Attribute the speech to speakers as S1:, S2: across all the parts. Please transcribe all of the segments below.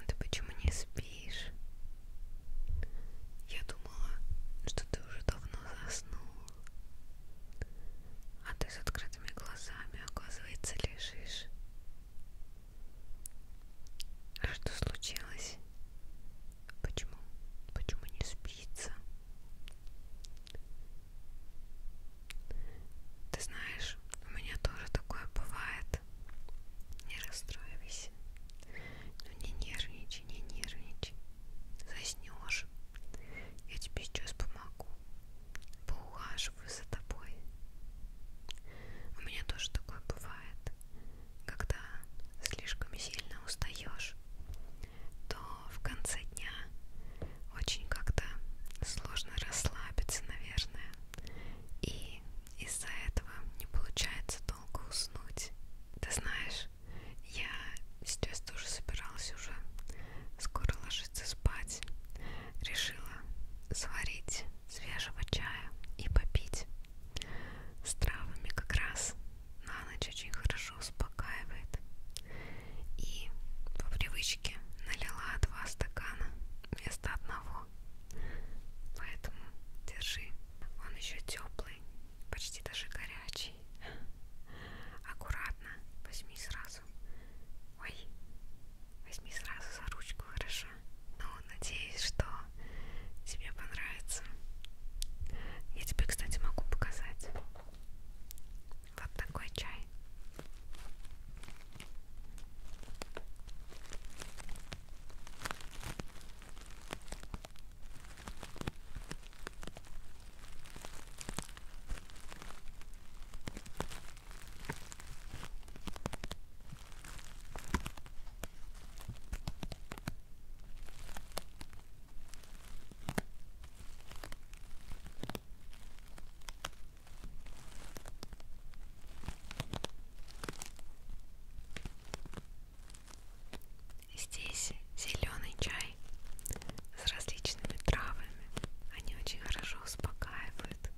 S1: А ты почему не спишь? Я думала, что ты уже давно заснул. А ты с открытыми глазами, оказывается, лежишь. А что случилось? Почему? Почему не спится? Ты знаешь, у меня тоже такое бывает. Не расстраивайся. Ну не нервничай, не нервничай. Заснешь. Я тебе сейчас помогу. Поухаживаю за тобой. У меня тоже такое бывает, когда слишком сильно устаешь то в конце дня очень как-то сложно расслабиться, наверное. И из-за этого не получается долго уснуть. Ты знаешь, я сейчас тоже собиралась уже скоро ложиться спать. Решила сварить свежего чая и попить с травами как раз на ночь очень хорошо успокаивает. И по привычке налила два стакана вместо одного. Поэтому держи. Он еще теплый, почти даже горячий. Аккуратно возьми сразу. Ой, возьми сразу за ручку, хорошо? Ну, надеюсь, что тебе понравится. Я тебе, кстати, могу показать. Вот такой чай. Здесь зеленый чай с различными травами. Они очень хорошо успокаивают,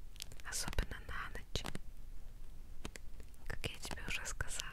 S1: особенно на ночь. Как я тебе уже сказала.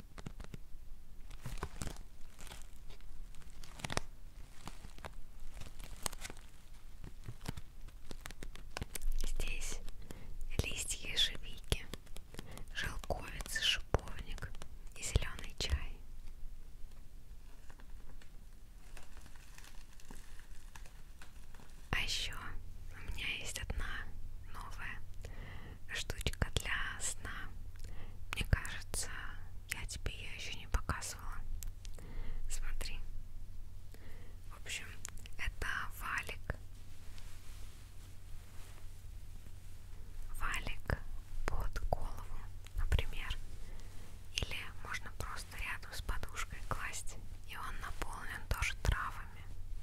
S1: Здесь листья ежевики, желковицы, шиповник и зеленый чай. А еще у меня есть одна новая штучка для сна. Мне кажется, я тебе ее еще не показывала. Смотри. В общем, это валик. Валик под голову, например. Или можно просто рядом с подушкой класть. И он наполнен тоже травами.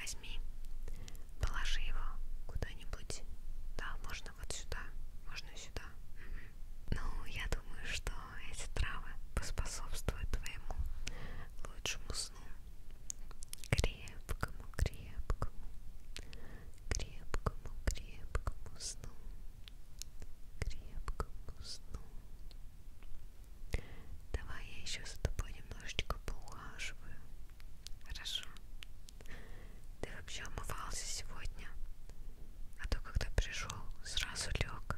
S1: Возьми, положи его куда-нибудь. Да, можно вот сюда, можно сюда. Угу. Ну, я думаю, что эти травы поспособствуют твоему лучшему сну крепкому, крепкому, крепкому, крепкому сну, крепкому сну. Давай я еще за тобой немножечко поухаживаю. Хорошо. Ты вообще умывался сегодня? А то когда пришел, сразу лег.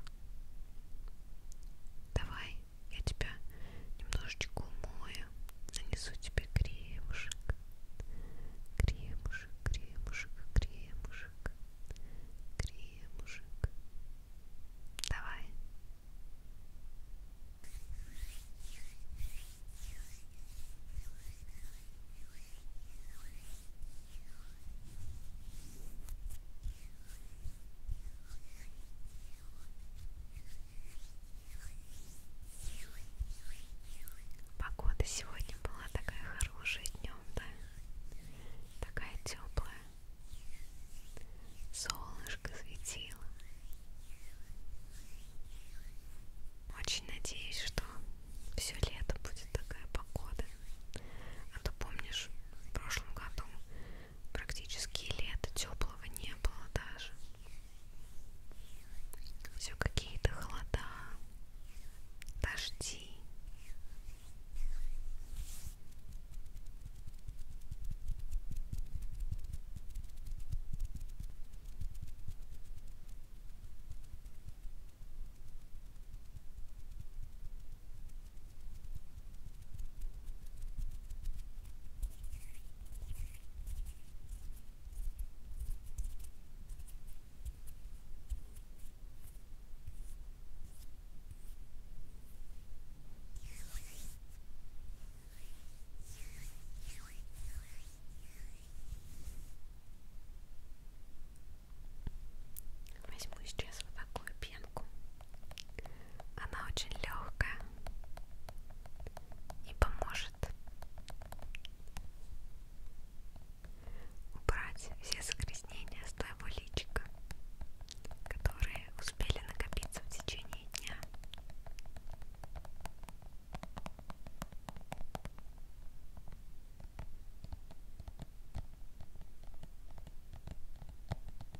S1: Давай, я тебя немножечко умою, нанесу тебе кремушек, кремушек, кремушек, кремушек, кремушек. Давай. Погода сегодня была такая хорошая днем, да? Такая теплая. Солнышко светило. Очень надеюсь, что все лето будет такая погода. А то помнишь, в прошлом году практически лето теплого не было даже. Все какие-то холода, дожди. Возьму сейчас вот такую пенку она очень легкая и поможет убрать все загрязнения с твоего личика, которые успели накопиться в течение дня.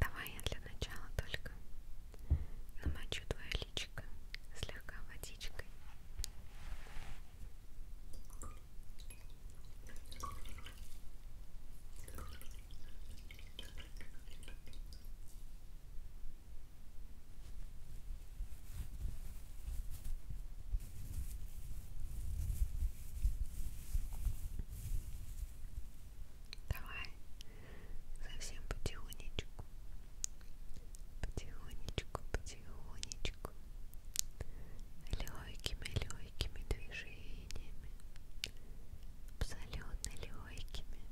S1: Давай я для начала только намочу твое личико слегка водичкой. Давай совсем потихонечку потихонечку, потихонечку, легкими, легкими движениями, абсолютно легкими,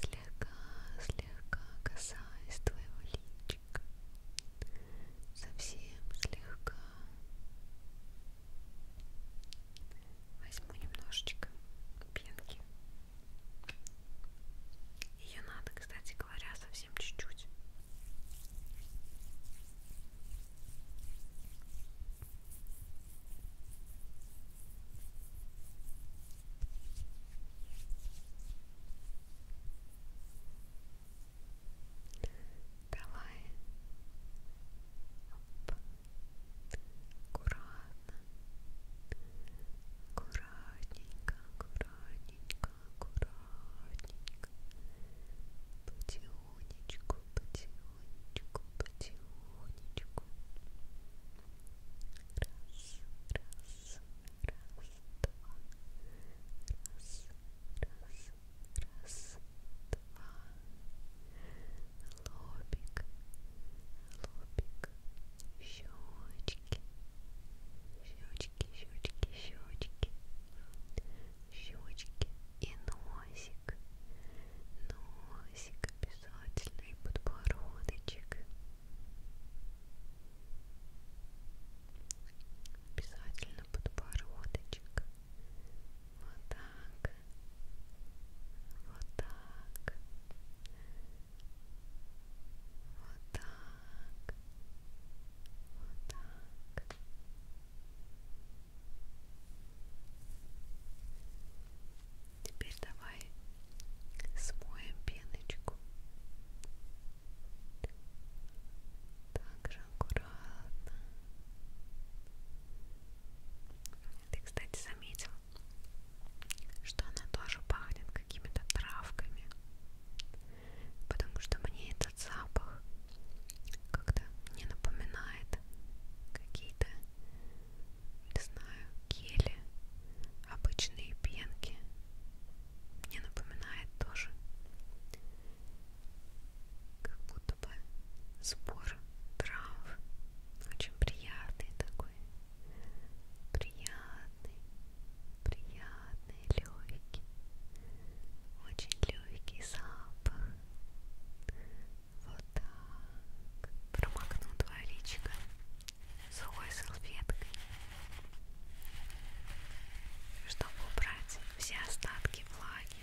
S1: слегка, слегка касаясь твоего личика, совсем слегка. Возьму немножечко пенки ее надо, кстати говоря, совсем чуть-чуть. Давай. Оп. Аккуратно. Аккуратно аккуратненько, аккуратненько, аккуратненько. Потихонечку, потихонечку, потихонечку. Раз, раз, раз, два. Раз, раз, раз, два. Лобик, лобик, лобик, щечки, щечки, щечки, щечки, щечки и носик, носик обязательно и подбородочек. Обязательно подбородочек. Вот так. Вот так. Вот так. Вот так. Теперь давай смоем пеночку. Также аккуратно ты, кстати, заметил, что она тоже пахнет какими-то травками. Потому что мне этот запах как-то не напоминает какие-то, не знаю, гели, обычные пенки. Мне напоминает тоже как будто бы сбор трав. Очень приятный такой, приятный, приятный, легкий, очень легкий запах. Вот так. Промокну два личика сухой салфеткой, чтобы убрать все остатки влаги.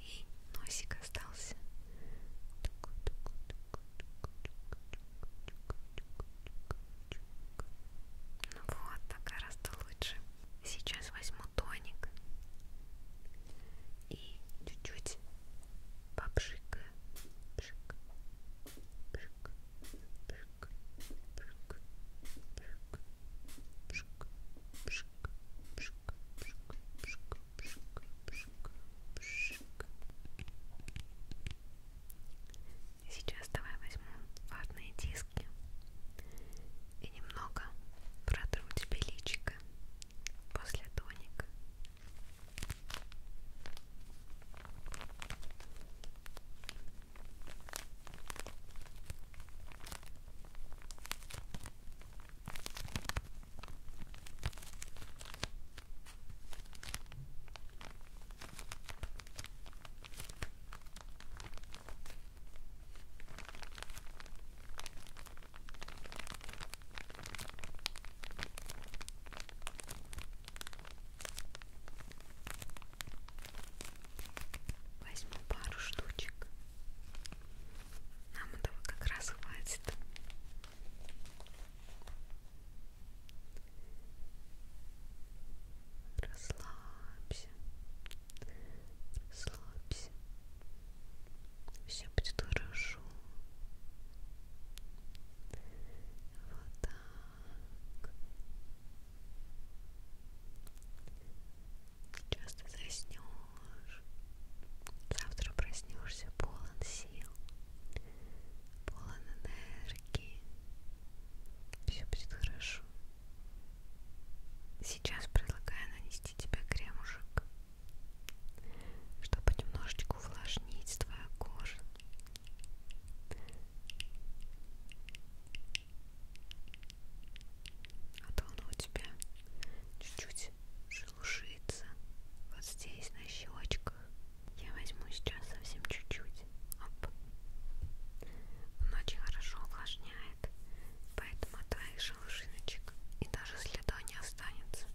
S1: И носик остался. Тук, тук, тук, тук, тук, тук, тук, тук, ну вот, так гораздо лучше. Сейчас возьму тоник и чуть-чуть попшикаю. Пшик, пшик, пшик, пшик, пшик, пшик, пшик, пшик, пшик, пшик, пшик, пшик. Сейчас давай возьму ватные диски и немного протру тебе личико после тоника. Возьму пару штучек. Нам этого как раз хватит. Расслабься. Расслабься. Все будет хорошо. Вот так. Сейчас ты заснешь. Завтра проснешься полон сил полон энергии. Все будет хорошо. Сейчас предлагаю нанести тебе кремушек, чтобы немножечко увлажнить твою кожу. А то она у тебя чуть-чуть шелушится вот здесь на щечках. Я возьму сейчас совсем чуть-чуть. Оп. Он очень хорошо увлажняет, поэтому от твоих шелушиночек и даже следа не останется.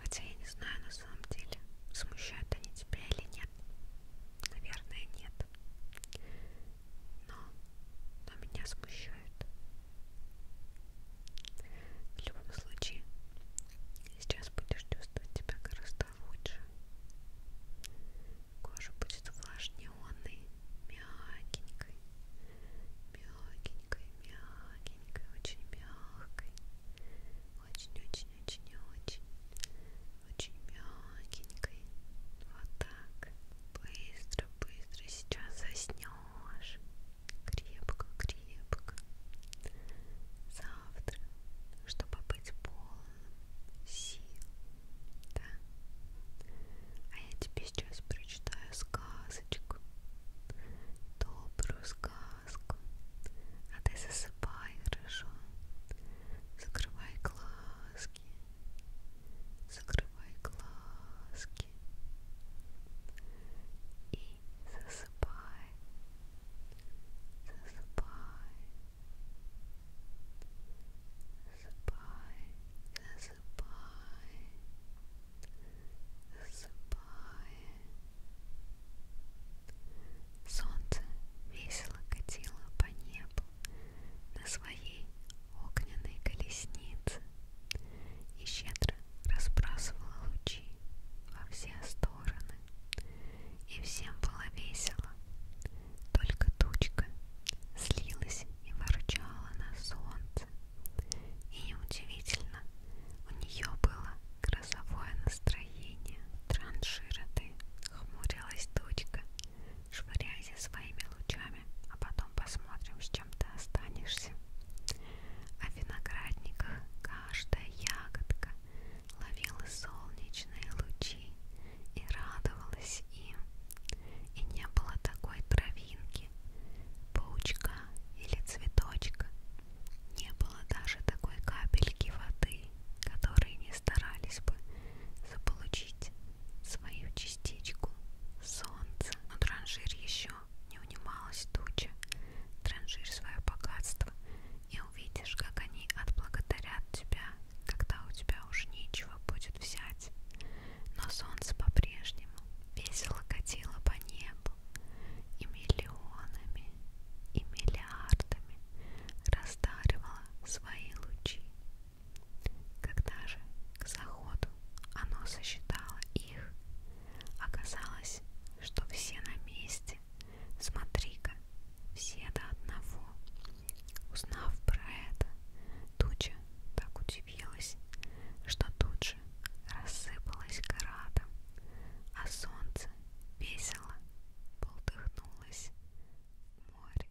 S1: Хотя я не знаю на самом деле, смущают они тебя или нет. Наверное, нет. Но, но меня смущают. В любом случае, сейчас будешь чувствовать себя гораздо лучше. Кожа будет увлажненной, мягенькой, мягенькой, мягенькой, очень мягкой, очень-очень-очень-очень, очень мягенькой. Вот так. Быстро-быстро сейчас заснешь крепко-крепко завтра, чтобы быть полным сил, да? А я тебе сейчас прочитаю сказочку, добрую сказку, а ты засыпай, хорошо? Закрывай глазки, закрывай глазки руки и засыпай, засыпай, засыпай, засыпай, засыпай. Солнце весело катило по небу на своей огненной колесницы и щедро разбрасывала лучи во все стороны. И всем было весело, только тучка слилась и ворчала на солнце. И неудивительно, у нее было грозовое настроение. Траншироты хмурилась тучка, швыряясь своими лучами, а потом посмотрим, с чем ты останешься. О а виноградниках каждая ягодка ловила солнечные лучи и радовалась им. И не было такой травинки, паучка или цветочка. Не было даже такой капельки воды, которые не старались бы заполучить свою частичку солнца. Но транжир еще не унималась туча. Транжирь свое богатство и увидишь, как они отблагодарят тебя, когда у тебя уж нечего будет взять. Но солнце по-прежнему весело катило по небу, и миллионами, и миллиардами раздаривало свои лучи. Когда же к заходу оно сосчитало их, оказалось, что все на месте. Смотри-ка, все до одного. Узнав про это, туча так удивилась, что тут же рассыпалась градом, а солнце весело полдыхнулось в море.